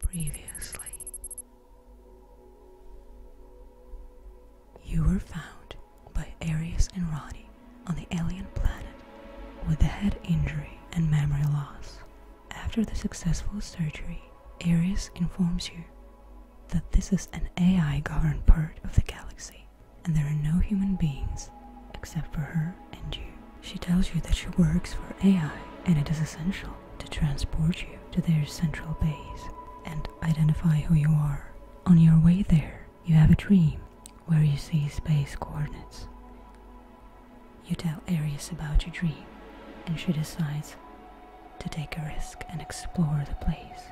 Previously, you were found by Aries and Roddy on the alien planet with a head injury and memory loss. After the successful surgery, Aries informs you that this is an AI governed part of the galaxy and there are no human beings except for her she tells you that she works for AI and it is essential to transport you to their central base and identify who you are. On your way there, you have a dream where you see space coordinates. You tell Aries about your dream, and she decides to take a risk and explore the place.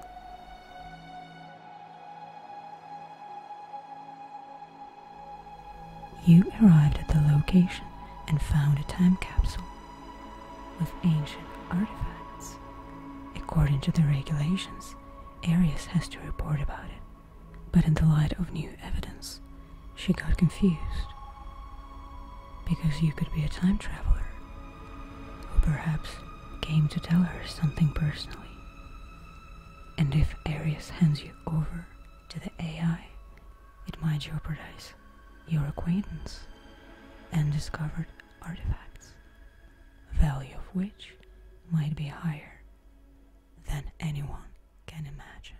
You arrived at the location and found a time capsule with ancient artifacts. According to the regulations, Arius has to report about it. But in the light of new evidence, she got confused. Because you could be a time traveler, who perhaps came to tell her something personally. And if Arius hands you over to the AI, it might jeopardize your acquaintance and discovered artifacts, value of which might be higher than anyone can imagine.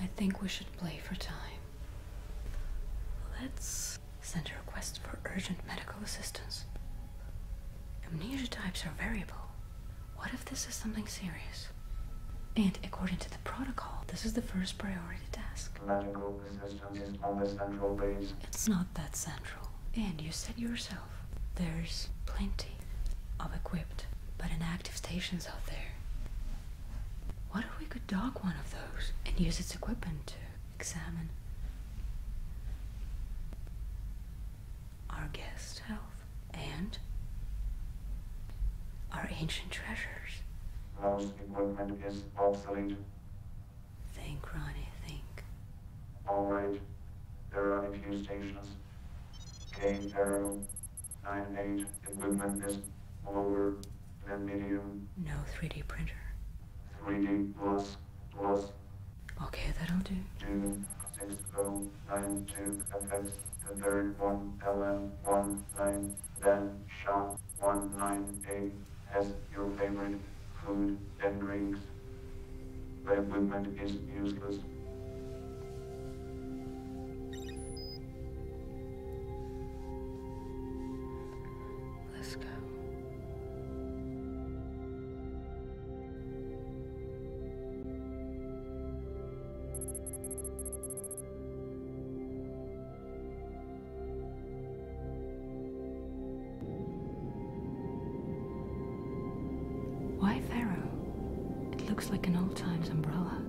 I think we should play for time. Let's send a request for urgent medical assistance. Amnesia types are variable. What if this is something serious? And according to the protocol, this is the first priority task. Magical resistance is on the central base. It's not that central. And you said yourself, there's plenty of equipped but inactive stations out there. What if we could dock one of those and use its equipment to examine our guest health, and our ancient treasures. Think, Ronnie, think. All right. There are a few stations. Game Equipment is lower than medium. No 3D printer. 3D plus plus Okay, that'll do. Two, six, oh, nine, two, FX, the third one, LM, one, nine, then, SHA, one, nine, eight, has your favorite food and drinks. The equipment is useless. Let's go. Why Pharaoh? It looks like an old times umbrella.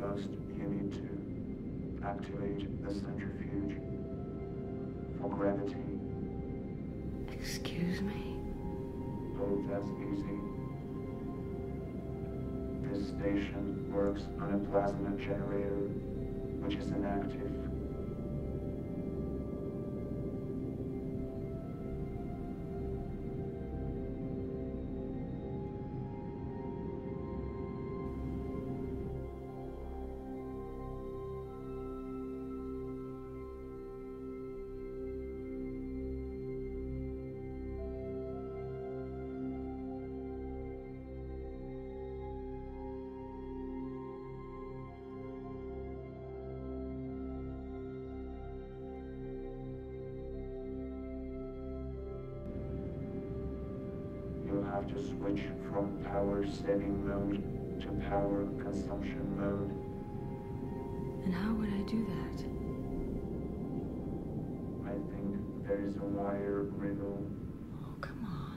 First, you need to activate the centrifuge for gravity. Excuse me? Oh, that's easy. This station works on a plasma generator, which is inactive. You have to switch from power saving mode to power consumption mode. And how would I do that? I think there is a wire riddle. Oh, come on.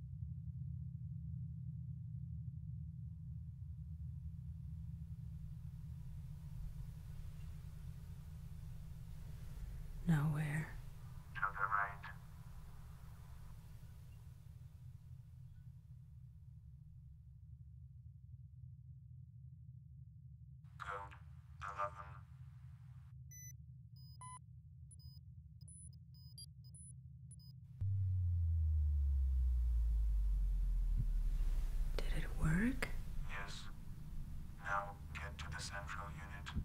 Nowhere. To the right. Code 11. Did it work? Yes. Now get to the central unit.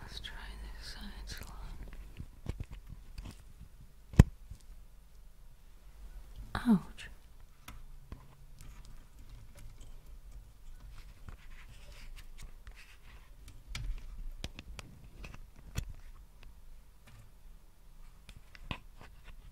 Let's try this side Ouch.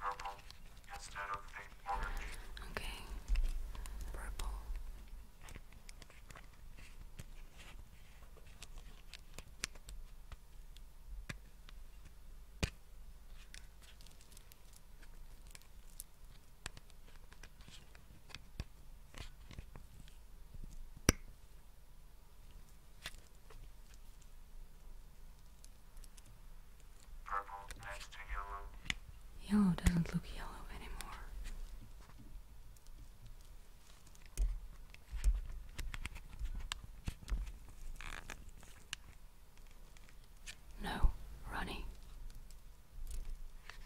Purple instead of orange. Okay. Purple. Purple yellow. doesn't look yellow anymore. No, Ronnie.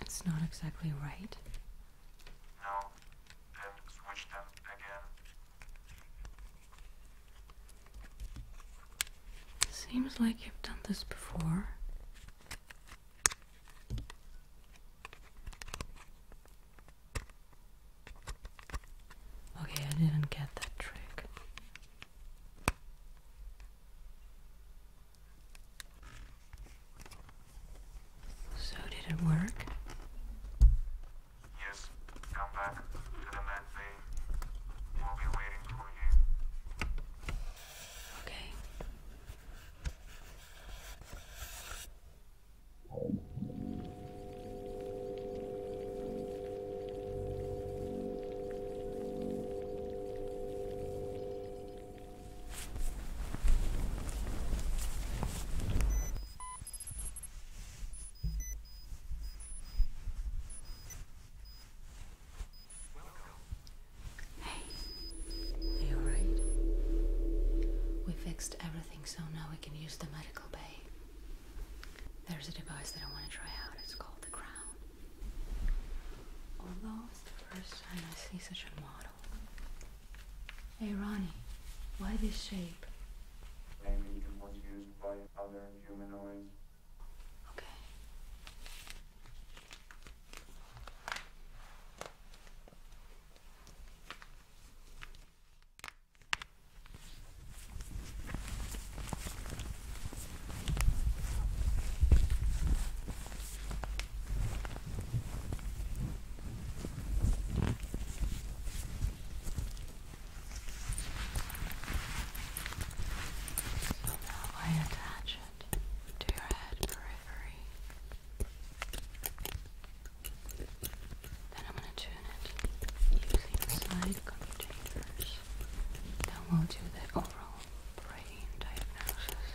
It's not exactly right. Seems like you've done this before. Okay, I didn't get that trick. So did it work? Yes, come back to the med bay. We'll be waiting for you. Okay. Hey, are you alright? We fixed everything so now we can use the medical bay. There's a device that I want to try out. It's called the crown. Although it's the first time I see such a model. Hey Ronnie, why this shape? Maybe it was used by other humanoids. Okay. So now I attach it to your head periphery. Then I'm going to tune it using side computation research we will do the overall brain diagnosis.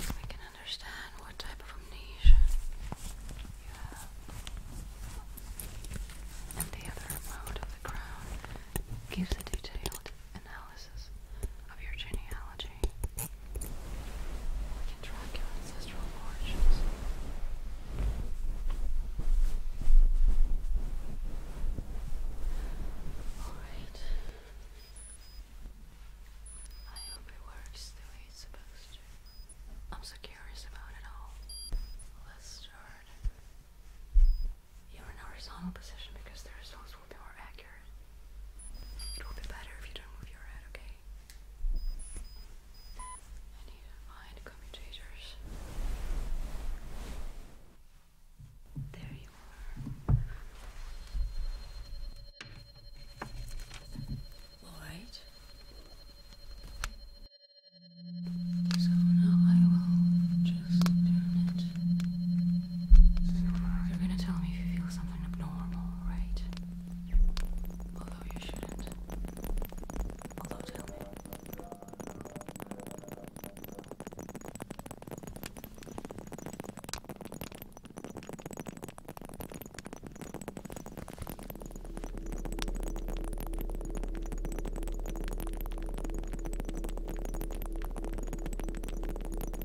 So we can understand what type of amnesia you have. And the other mode of the crown gives a detailed analysis of your genealogy. We can track your ancestral origins. Alright. I hope it works the way it's supposed to. I'm so curious about it all. Let's start. You're in horizontal position because there is also little bit more accurate. It will be better if you don't move your head, okay? I need to find commutators. There you are. Alright. So now I will just turn it you're gonna tell me if you feel something abnormal, right? Although you shouldn't. Although, tell me. Thank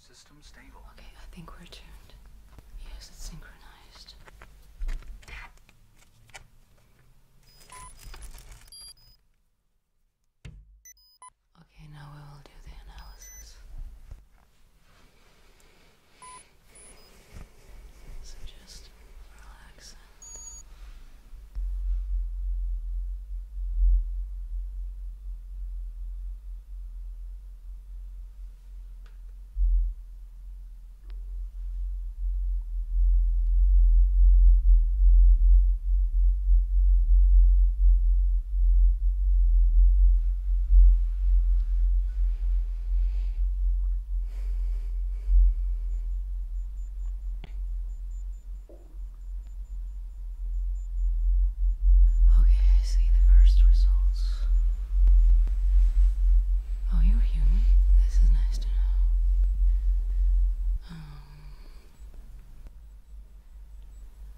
System stable. Okay, I think we're tuned. Yes, it's synchronized. Okay, now we will do the analysis. So just relax. Okay, I see the first results. Oh, you're human. This is nice to know. Um,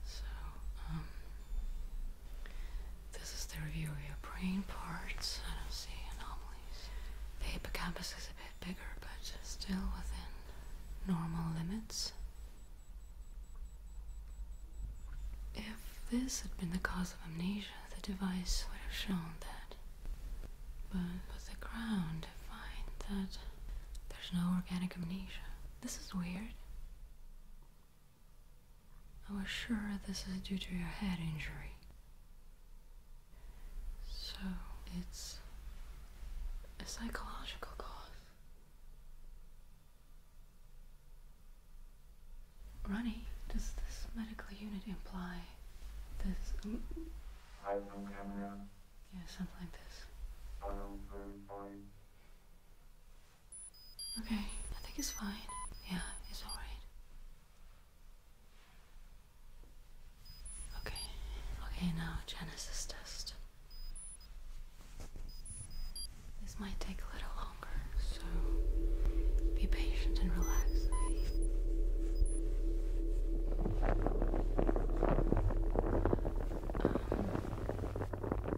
so, um, this is the review of your brain parts. I don't see anomalies. The hippocampus is a bit bigger, but still within normal limits. If this had been the cause of amnesia, the device would have shown that. But with the ground, I find that there's no organic amnesia. This is weird. I was sure this is due to your head injury. So it's a psychological cause. Ronnie, does this medical unit imply this? Um, yeah, something like this. Okay, I think it's fine. Yeah, it's alright. Okay, okay, now Genesis test. This might take a little longer, so be patient and relax. Um,